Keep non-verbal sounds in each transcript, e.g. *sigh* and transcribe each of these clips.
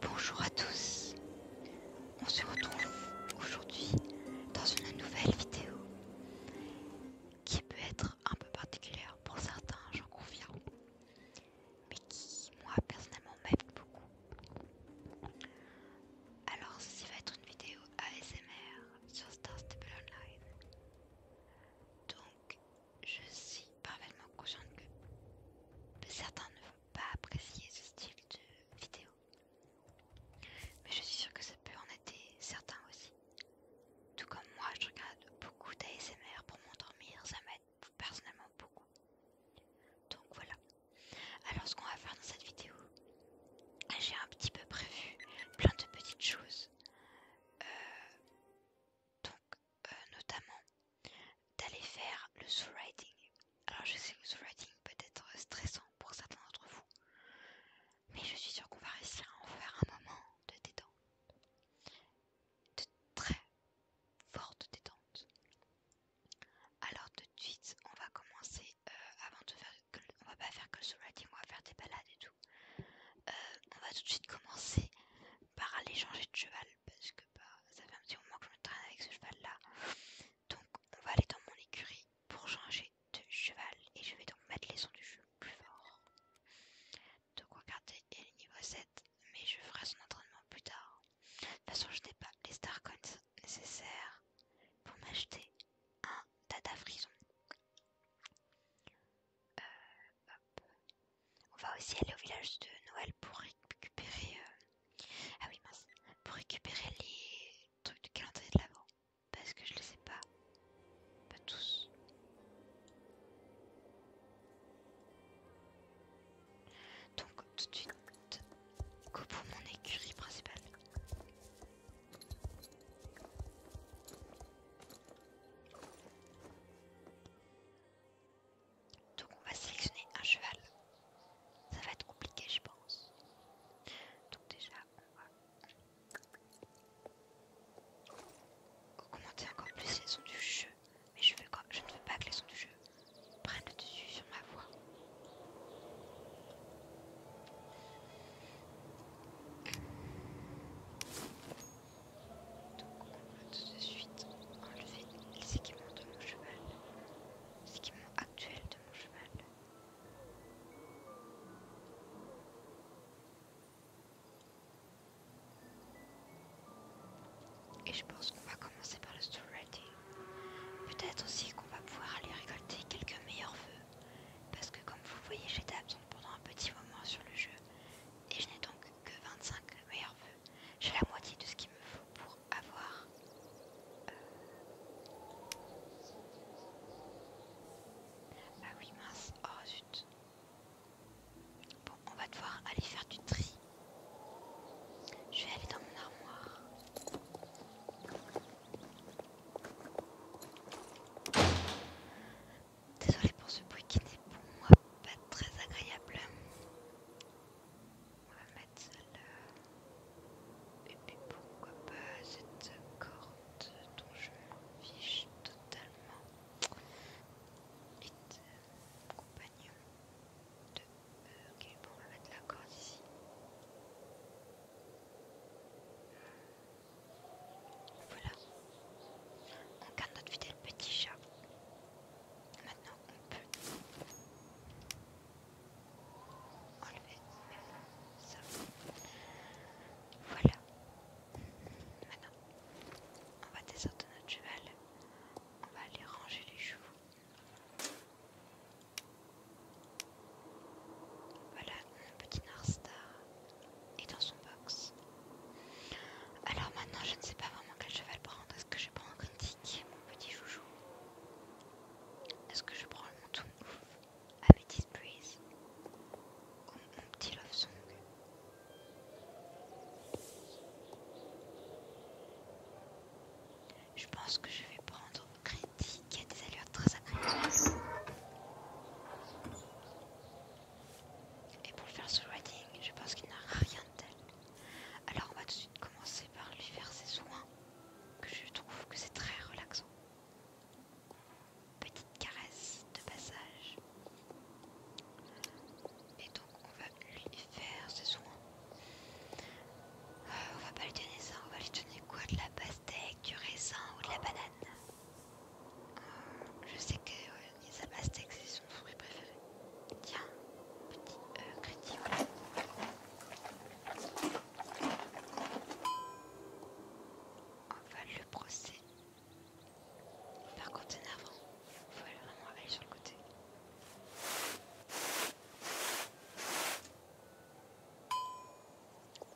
Bonjour à tous, on se retrouve aujourd'hui dans une nouvelle vidéo qui peut être un peu particulière pour certains, j'en confirme, mais qui moi personnellement m'aime beaucoup. Alors ceci va être une vidéo ASMR sur Star Stable Online. Donc je suis parfaitement consciente que certains ne vont pas apprécier ce style de vidéo. Mais je suis sûre que ça peut en aider certains aussi. Tout comme moi, je regarde beaucoup d'ASMR pour m'endormir, ça m'aide personnellement beaucoup. Donc voilà. Alors ce qu'on va faire dans cette vidéo, j'ai un petit peu prévu plein de petites choses. Euh, donc euh, notamment d'aller faire le sous-writing. Alors je sais que le sous-writing peut être stressant pour certains d'entre vous, mais je suis sûre qu'on va réussir à en faire un moment de détente, de très forte détente. Alors tout de suite, on va commencer euh, avant de faire, on va pas faire que le sous-writing, on va faire des balades et tout. Euh, on va tout de suite commencer par aller changer de cheval parce que bah, ça fait un petit moment que je me traîne avec ce cheval là. Donc on va aller dans mon écurie pour changer de cheval et je vais donc mettre les sons du jeu plus fort. Donc regardez, elle le niveau 7 mais je ferai son entraînement plus tard. De toute façon je n'ai pas les Coins nécessaires pour m'acheter un data frison. Euh, on va aussi aller au village de Noël pour récupérer. Euh, ah oui, Pour récupérer les trucs du calendrier de l'avant. Parce que je les ai pas. Pas tous. Donc, tout de suite, go pour mon écurie principale. Donc on va sélectionner un cheval. Ça va être compliqué je pense. Donc déjà on va encore plus les sons du jeu. Mais je, je ne veux pas que les sons du jeu prennent le dessus sur ma voix. Donc on va tout de suite enlever les équipements de mon cheval, les équipements actuels de mon cheval. Et je pense qu'on va commencer par le story Peut-être aussi qu'on va pouvoir aller récolter quelques meilleurs vœux. Parce que comme vous voyez, j'étais absente pendant un petit moment sur le jeu et je n'ai donc que 25 meilleurs vœux. J'ai la moitié de ce qu'il me faut pour avoir euh, Ah oui mince, oh zut. Bon, on va devoir aller faire du tri. Je vais aller dans mon armoire. Désolée pour ce bruit qui n'est pour moi pas très agréable. On va mettre celle-là. Et puis pourquoi pas cette corde dont je fiche totalement. Ok, bon, on va mettre la corde ici. Voilà. On garde notre fidèle petit chat. Maintenant, on peut enlever ça. Voilà. Maintenant, on va descendre notre cheval. On va aller ranger les chevaux. Voilà, notre petit Narstar et dans son box. Alors maintenant, je ne sais pas vraiment quel cheval prendre. Est-ce que je prends critique mon petit joujou Est-ce que je prends le tout ouf, Amethyst Breeze ou mon petit Love Song je pense que je vais prendre critique y a des allures très agréables. Et pour le faire ce riding, je pense qu'il n'a rien de tel. Alors on va tout de suite commencer par lui faire ses soins, que je trouve que c'est très relaxant. Petite caresse de passage. Et donc on va lui faire ses soins. Euh, on va pas lui donner ça, on va lui donner quoi De la pastèque, du raisin ou de la banane je sais que euh, les abastèques c'est son fruit préféré. Tiens, petit euh, crédit, voilà. va le brosser. Par contre, c'est avant. Il faut vraiment aller sur le côté.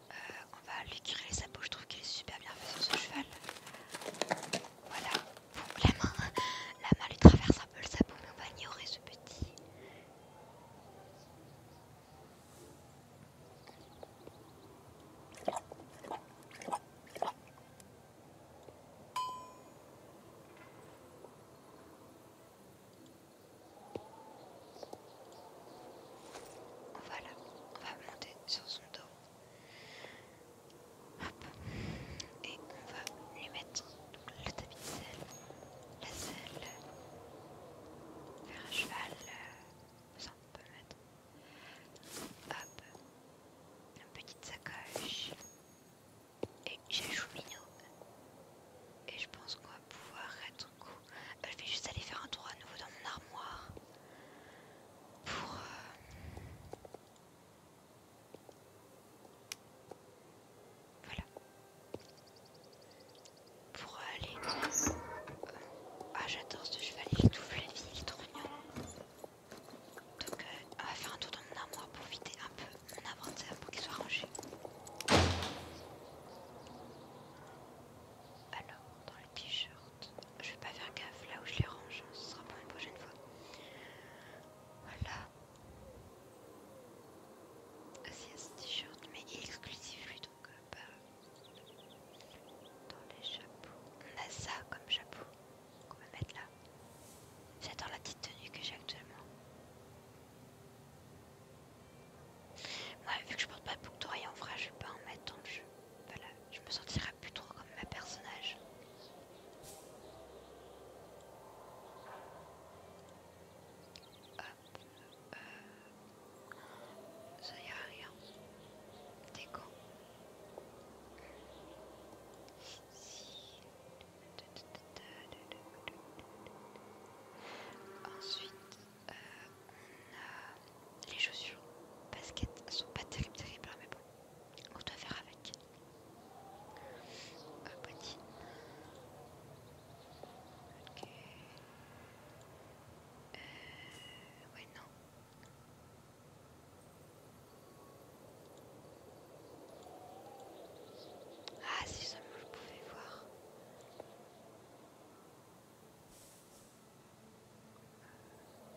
Euh, on va lui curer les sabots. Je trouve qu'il est super bien fait sur ce cheval. Voilà. la main, *laughs* la main lui traverse un peu le sabot, mais on va ignorer ce petit. Voilà, on va monter sur son dos. Et on va lui mettre le tapis de sel, la selle, faire un cheval, euh, ça on peut mettre. Hop, une petite sacoche. Et j'ai Choumino. Et je pense qu'on va pouvoir être coup. Euh, je vais juste aller faire un tour à nouveau dans mon armoire pour euh, voilà pour aller ah j'adore ce cheval il la vie il est donc euh, on va faire un tour dans mon armoire pour vider un peu mon inventaire pour qu'il soit rangé alors dans le t-shirt je vais pas faire gaffe là où je les range, hein, ce sera pour une prochaine fois. Voilà. un t-shirt, mais il est exclusif lui donc euh, pas dans les chapeaux. On a ça comme chapeau qu'on va mettre là. J'adore la petite tenue que j'ai actuellement. Moi, vu que je porte pas de boucle en vrai, je vais pas en mettre dans le jeu. Voilà, je me sentirais plus trop comme ma personnage. Euh, ça y a rien. Déco. Ensuite, euh, les chaussures basket sont pas terribles terribles hein, mais bon on doit faire avec un euh, petit ok euh, ouais non ah si seulement je pouvais voir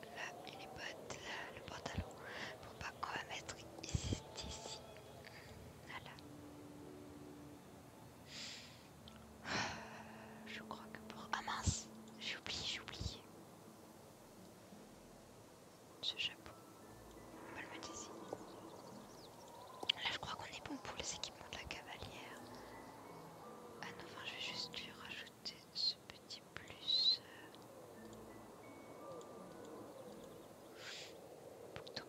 Là, il les bottes, le pantalon. pour pas on va mettre ici, ah, Je crois que pour. Ah mince, j'ai oublié, j'ai oublié. Ce chapeau. On va le mettre ici. Là, je crois qu'on est bon pour les équipements de la cavalière. Ah non, enfin, je vais juste lui rajouter ce petit plus. Euh, pour tout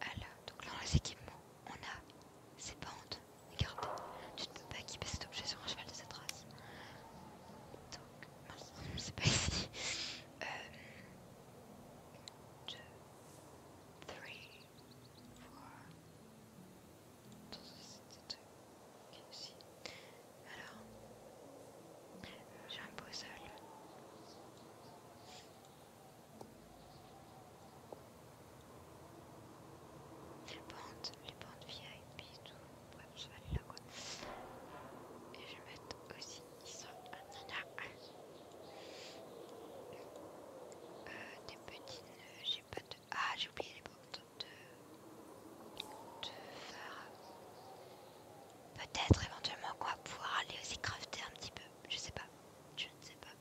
Alors, donc là, dans les équipements, on a ces bandes. Regardez, tu ne peux pas équiper cet objet sur un cheval de cette race. Donc, *laughs* c'est pas ici. Euh, 2, 3, Alors, j'ai un puzzle. Les bandes les VIP et tout. je vais aller là Et je vais mettre aussi des petits j'ai pas de. Ah, j'ai oublié les de. de euh, Peut-être éventuellement quoi pouvoir aller aussi crafter un petit peu. Je sais pas. Je ne sais pas.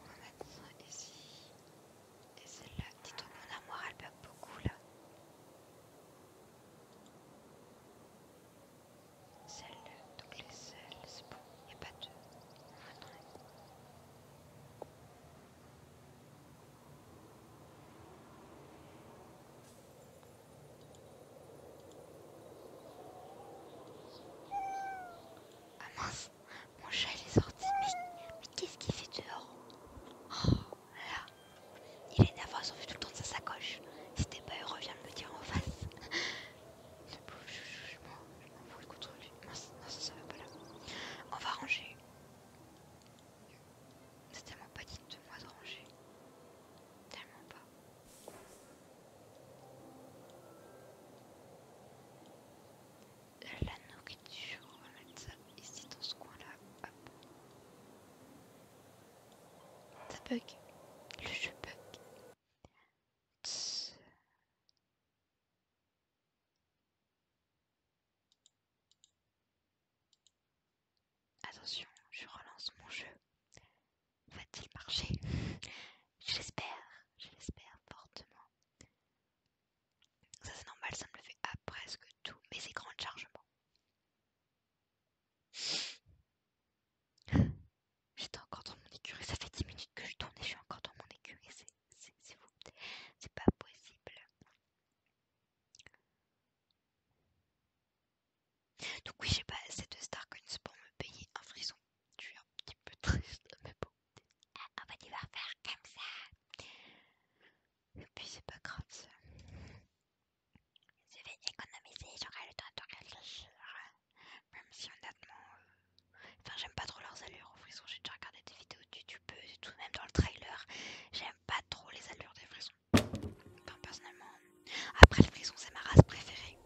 On va mettre ça ici. Et celle-là. Dis donc, mon amour elle perd beaucoup là. Celle, donc les selles, c'est bon, il n'y a pas de... Ah mince, mon chat il est sorti, mais, qu'est-ce qu'il fait dehors oh. Il est nerveux, on fait tout le temps de sa sacoche. Si t'es pas heureux, viens me le dire en face. je m'en fous contre lui. Non, ça, ne va pas là. On va ranger. C'est tellement pas digne de moi de ranger. Tellement pas. La nourriture, on va mettre ça ici dans ce coin là. Hop. Ça bug. Le jeu bug. Attention, je relance mon jeu. Va-t-il marcher Je l'espère, je l'espère fortement. Ça c'est normal, ça me le fait à presque tous mes écrans de chargement. J'étais encore dans mon écurie, ça fait 10 minutes que je tourne et je suis encore dans mon écurie, c'est fou, c'est pas possible. Donc oui, j'ai pas assez de Star pour me payer un frisson. Je suis un petit peu triste, *laughs* mais bon. Eh, on va devoir faire comme ça. Et puis c'est pas grave ça. Je vais économiser, j'aurai le temps de hein. Même si honnêtement... Euh, enfin j'aime pas trop leurs allures aux frisons, j'ai déjà regardé des vidéos de Youtube, et tout, même dans le trailer. J'aime pas trop les allures des frisons, Enfin personnellement... Après le frison c'est ma race préférée.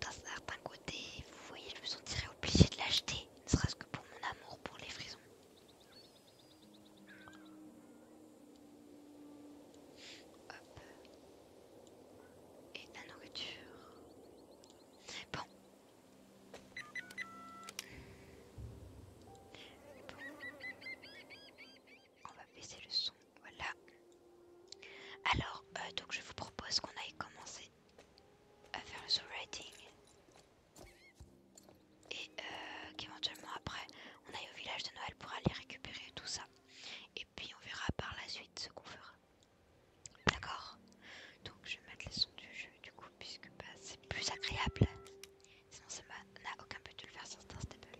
D'un certain côté, vous voyez, je me sentirais obligée de l'acheter, ne serait-ce que pour mon amour pour les frisons. Et la nourriture. Bon. On va baisser le son. Voilà. Alors, euh, donc je vous propose qu'on aille commencer à faire le writing et euh, qu'éventuellement après on aille au village de Noël pour aller récupérer tout ça. Et puis on verra par la suite ce qu'on fera. D'accord Donc je vais mettre les sons du jeu du coup puisque bah, c'est plus agréable. Sinon ça n'a aucun but de le faire sur Stable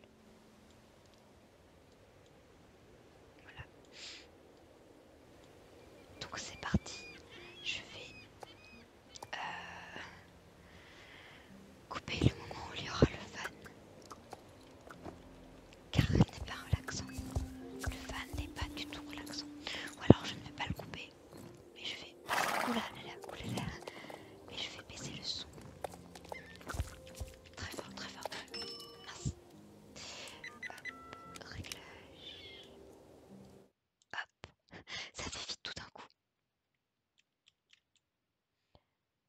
Voilà. Donc c'est parti. Je vais euh, couper le moment où il y aura le fan. Car il n'est pas relaxant. Le fan n'est pas du tout relaxant. Ou alors je ne vais pas le couper. Mais je vais. oulala, Mais je vais baisser le son. Très fort, très fort. Hop, réglage. Hop, ça fait vite tout d'un coup.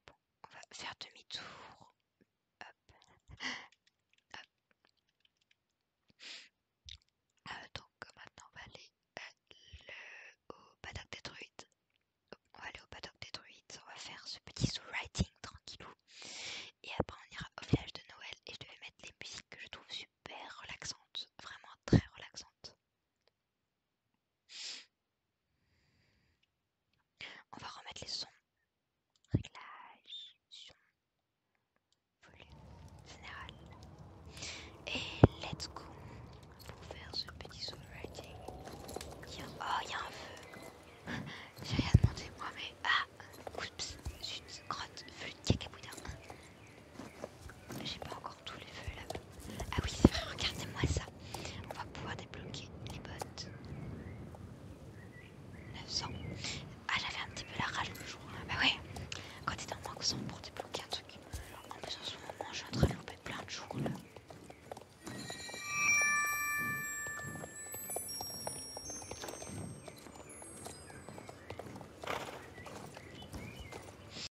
Bon, on va faire demi-tour. Hop. donc maintenant on va aller euh, au paddock des On va aller au paddock des on va faire ce petit sous-writing tranquillou. Et après on ira au village de Noël et je devais mettre les musiques que je trouve super relaxantes, vraiment très relaxantes. On va remettre les sons. réglages, volume général. Et let's go pour faire ce petit songwriting. Oh, il y a un feu. *laughs* J'ai rien demandé moi, mais ah, oups, une grotte, feu, de cacabouda. J'ai pas encore tous les feux là. Ah oui, c'est vrai, regardez-moi ça. On va pouvoir débloquer les bottes. 900. Ah, j'avais un petit peu la rage le jour. Hein. Bah ouais, quand t'es en manque 100 pour débloquer un truc. En plus, en ce moment, je suis en train de louper plein de jours là.